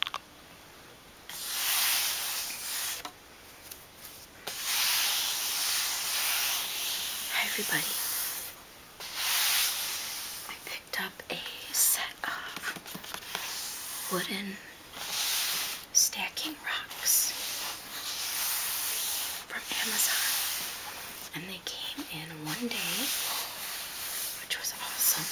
Hi everybody. I picked up a set of wooden stacking rocks from Amazon and they came in one day which was awesome.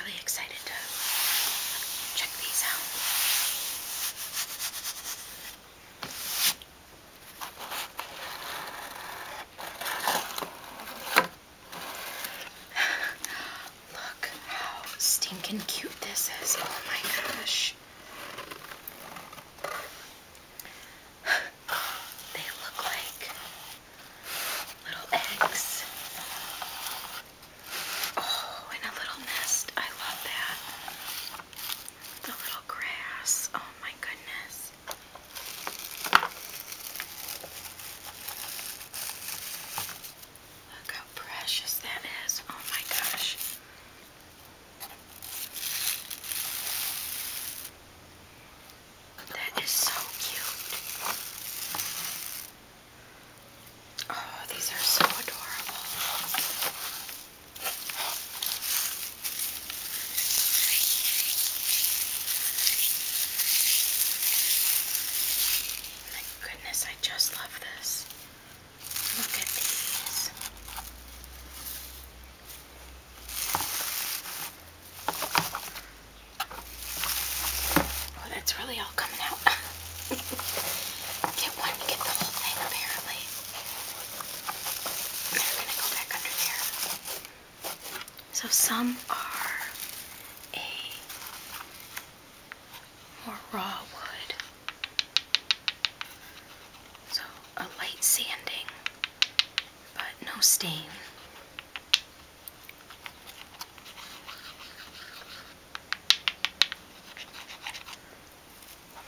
Really excited to check these out. Look how stinking cute this is. Oh my gosh they look like little eggs. Oh, and a little nest. I love that. The little grass. Oh my goodness. Look how precious that is. Oh my gosh. That is so cute. Oh, these are so adorable. My goodness, I just love this. Look at these. Oh, that's really all coming out. get one, get the whole thing apparently. They're gonna go back under there. So some are a more raw wood. So a light sanding, but no stain.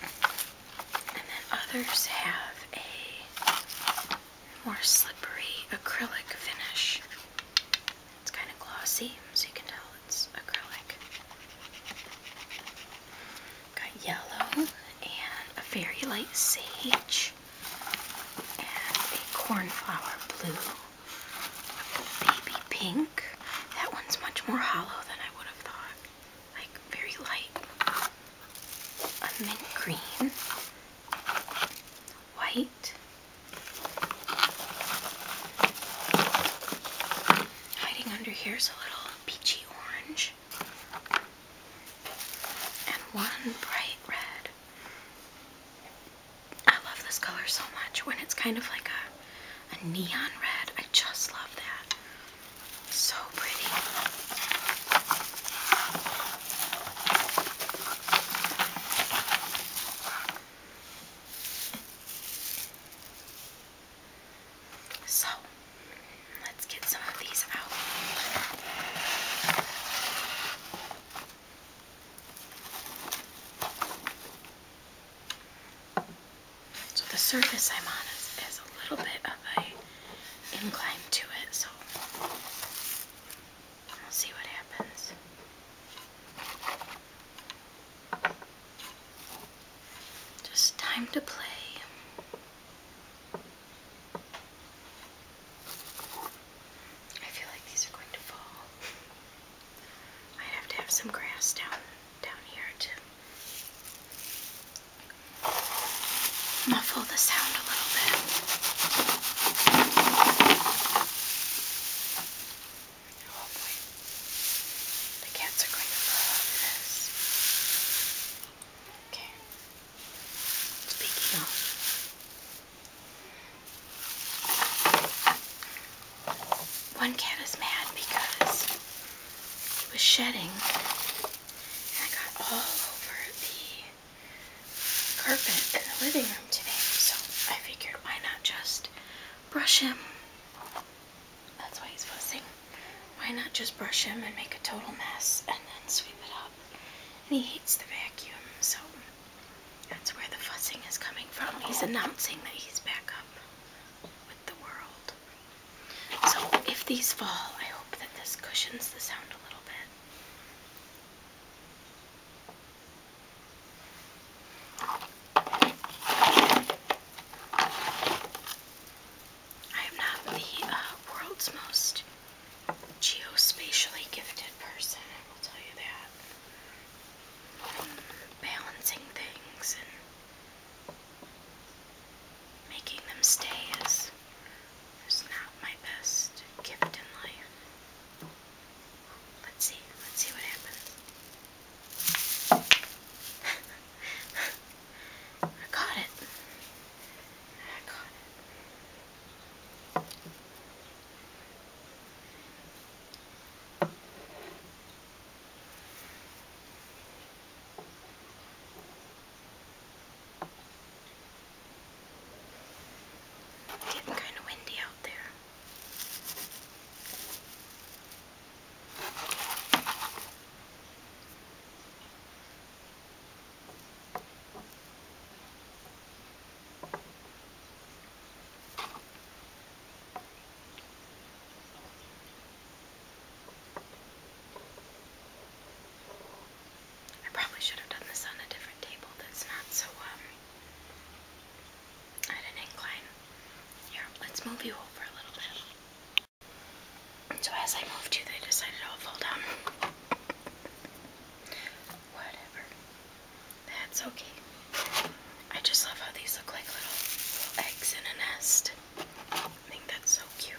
And then others have a more slippery acrylic finish. It's kind of glossy, so you can tell it's acrylic. Got yellow and a very light sage and a cornflower blue, baby pink. That one's much more hollow than I would have thought. Like very light. A mint green, white, Hiding under here is a little peachy orange and one bright red. I love this color so much when it's kind of like a, a neon red. I just love that. So pretty. So let's get some of these out. So the surface I'm on is, a little bit of an incline to it, so we'll see what happens. Just time to play. I feel like these are going to fall. i have to have some grass down down here to muffle the sound a little bit. Oh, the cats are going to love this. Okay. Speaking of, one cat is mad because he was shedding, and I got all over the carpet in the living room today. So I figured, why not just brush him. That's why he's fussing. Why not just brush him and make a total mess and then sweep it up? And he hates the vacuum, so that's where the fussing is coming from. He's announcing that he's back up with the world. So if these fall, I hope that this cushions the sound a little bit. I am not the uh, world's most geospatially gifted person, I will tell you that. Mm, balancing things and making them stay is, is not my best gift in life. Let's see. Let's see what happens. I got it. I got it. Getting kind of windy out there. I probably should have done this on a different table that's not so um at an incline. Here, let's move you over a little bit. So as I move you, they decided I'll fall down. Whatever. That's okay. I just love how these look like little, little eggs in a nest. I think that's so cute.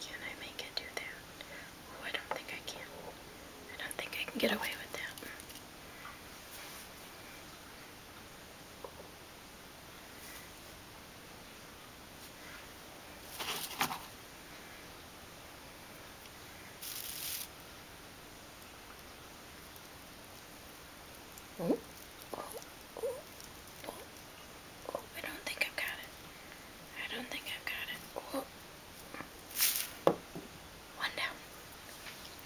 Can I make it do that? Oh, I don't think I can. I don't think I can get away with that. Oh. Oh. Oh. Oh. I don't think I've got it. I don't think I've got it. Oh. One down.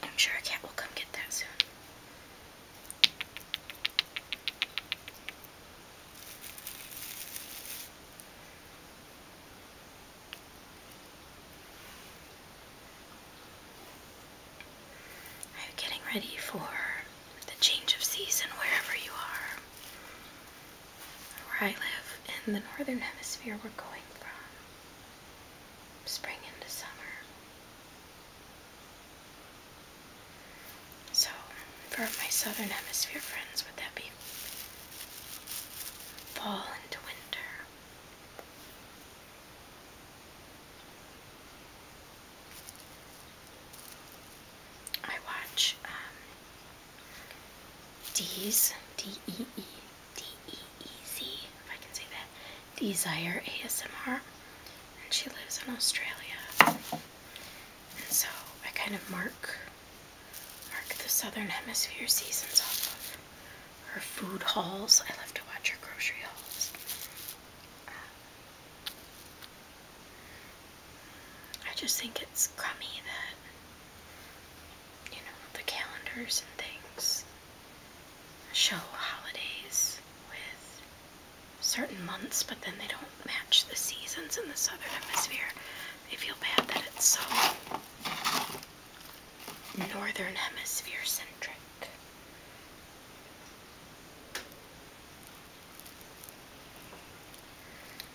I'm sure a cat will come get that soon. Are you getting ready for the change of season wherever you are? Where I live in the northern hemisphere, we're going from spring into summer. So, for my southern hemisphere friends, would that be fall into winter? I watch um, D-E-E, D-E-E-Z, if I can say that, Desire ASMR, and she lives in Australia. And so I kind of mark mark the southern hemisphere seasons off of her food hauls. I love to watch her grocery hauls. I just think it's crummy that you know the calendars and things show holidays with certain months, but then they don't match the seasons in the southern hemisphere. I feel bad that it's so northern hemisphere centric.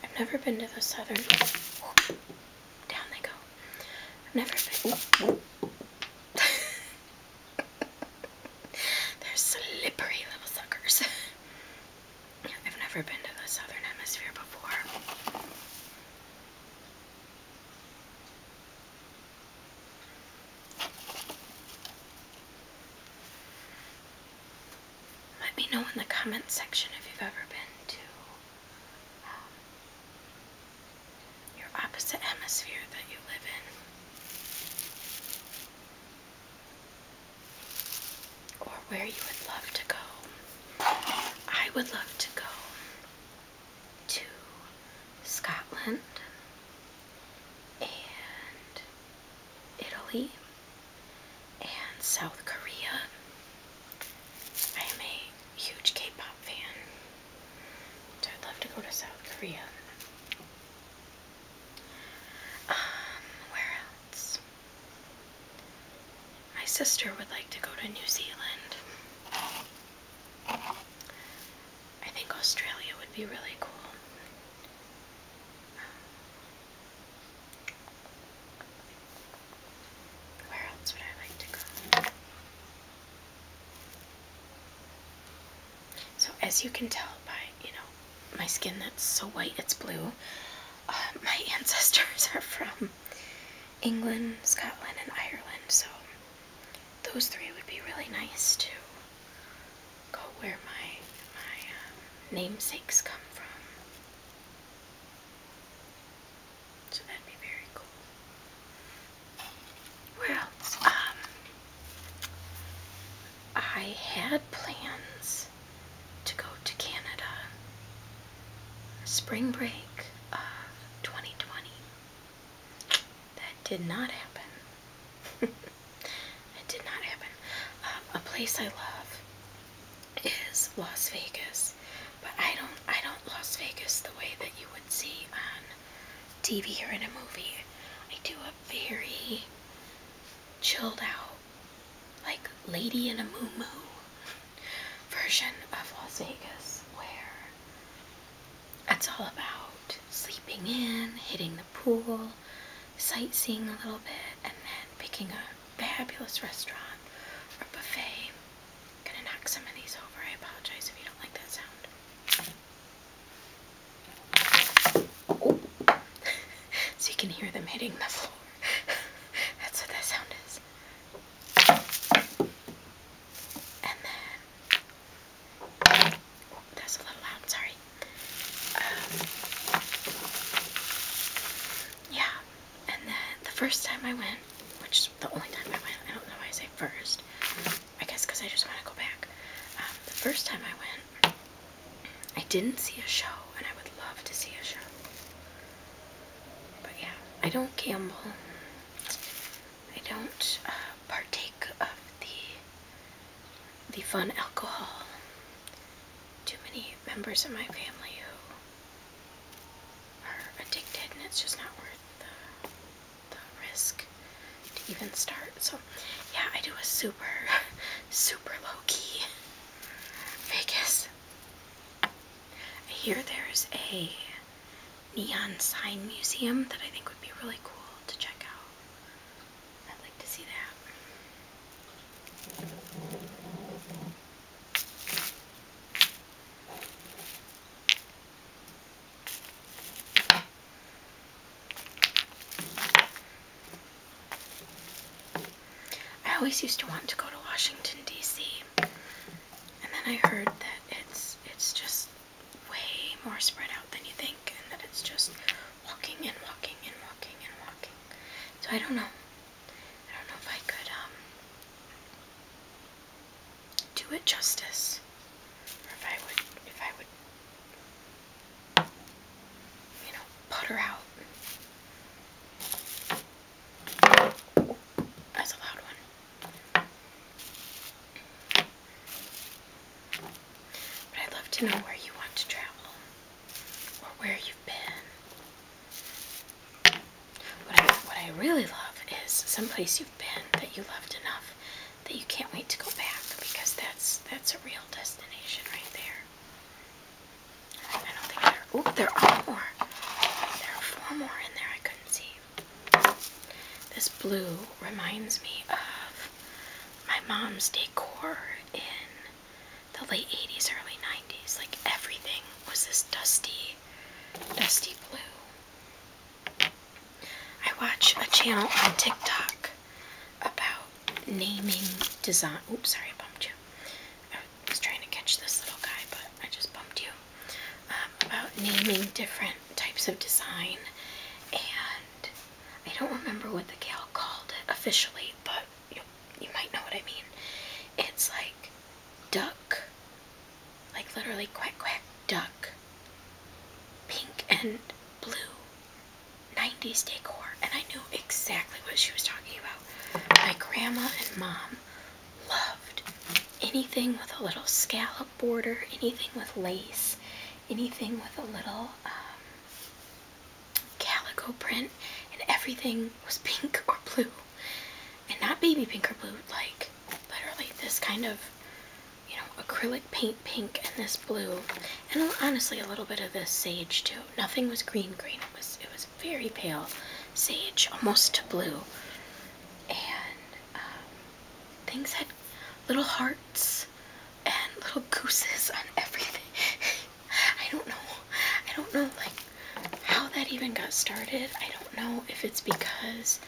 I've never been to the southern. Down they go. I've never been. They're slippery little suckers. I've never been to the southern hemisphere before. Let me know in the comment section if you've ever been to um, your opposite hemisphere that you live in or where you would love to go. I would love to go to Scotland and Italy and South Korea. I am a huge K-pop fan, so I'd love to go to South Korea. Um, where else? My sister would like to go to New Zealand. I think Australia would be really cool. Where else would I like to go? So as you can tell by, you know, my skin that's so white it's blue, um, my ancestors are from England, Scotland, and Ireland. So those three would be really nice to go where my, my um, namesakes come from. So that'd be very cool. Where else? Um, I had plans to go to Canada spring break of 2020. That did not happen. it did not happen. Um, a place I love is Las Vegas, but I don't I don't Las Vegas the way that you would see on TV or in a movie. I do a very chilled out, like Lady in a Moo Moo version of Las Vegas, where it's all about sleeping in, hitting the pool, sightseeing a little bit, and then picking a fabulous restaurant or buffet. I'm gonna knock some of these over. I apologize if you don't like that sound. so you can hear them hitting the floor. That's what that sound is. And then, that's a little loud, sorry. Um, yeah, and then the first time I went, which is the only time I went, I don't know why I say first, I guess because I just want to go back. Um, the first time I went, I didn't see a show, and I would love to see a show. But yeah, I don't gamble. I don't uh, partake of the the fun alcohol. Too many members of my family who are addicted, and it's just not worth the risk to even start. So yeah, I do a super, super low-key Vegas. I hear there's a neon sign museum that I think would be really cool to check out. I'd like to see that. I always used to want to go to Washington D.C. and then I heard that it's it's just way more spread out than you think and that it's just walking and walking and walking and walking. So I don't know. I don't know if I could um do it justice or if I would, if I would, you know, putter out. That's a loud one. But I'd love to know where you want to travel or where you've been. What I, what I really love is some place you've been that you loved enough that you can't wait to go back because that's that's a real destination right there. I don't think there. Oh, there are more. There are four more in there. I couldn't see. This blue reminds me of my mom's decor in the late '80s, early '90s. Like everything was this dusty, dusty blue. I watch a channel on TikTok about naming design. Oops, sorry, bumped you. I was trying to catch this little guy, but I just bumped you. Um, about naming different types of design, and I don't remember what the gal called it officially, but you, you might know what I mean. It's like duck, like literally quack quack duck, pink and blue 90s decor, and I knew exactly what she was talking about. My grandma and mom loved anything with a little scallop border, anything with lace, anything with a little um, calico print, and everything was pink or blue. And not baby pink or blue, like literally this kind of you know, acrylic paint pink and this blue, and honestly a little bit of this sage too. Nothing was green green. It was it was very pale sage, almost to blue, and um, things had little hearts and little gooses on everything. I don't know. I don't know like how that even got started. I don't know if it's because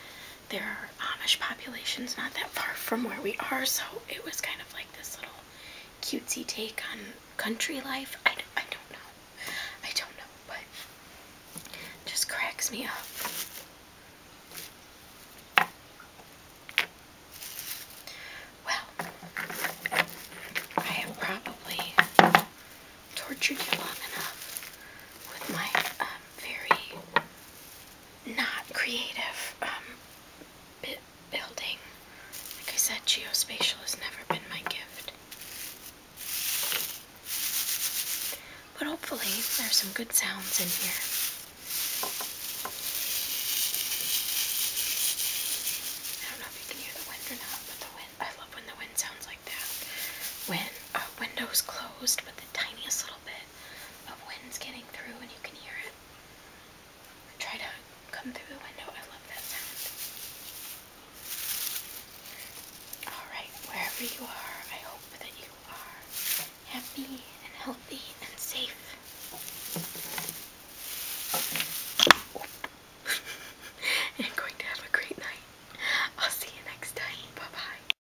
there are Amish populations not that far from where we are, so it was kind of like this little cutesy take on country life. I, don't, I don't know. I don't know, but just cracks me up. Well, I have probably tortured you long enough with my um, very not creative um, building. Like I said, geospatial has never been my gift. But hopefully, there's some good sounds in here. I don't know if you can hear the wind or not, but the wind, I love when the wind sounds like that. When uh, window's closed, but the tiniest little bit bit winds getting through and you can hear it try to come through the window. I love that sound. Alright, wherever you are, I hope that you are happy and healthy and safe. and going to have a great night. I'll see you next time. bye.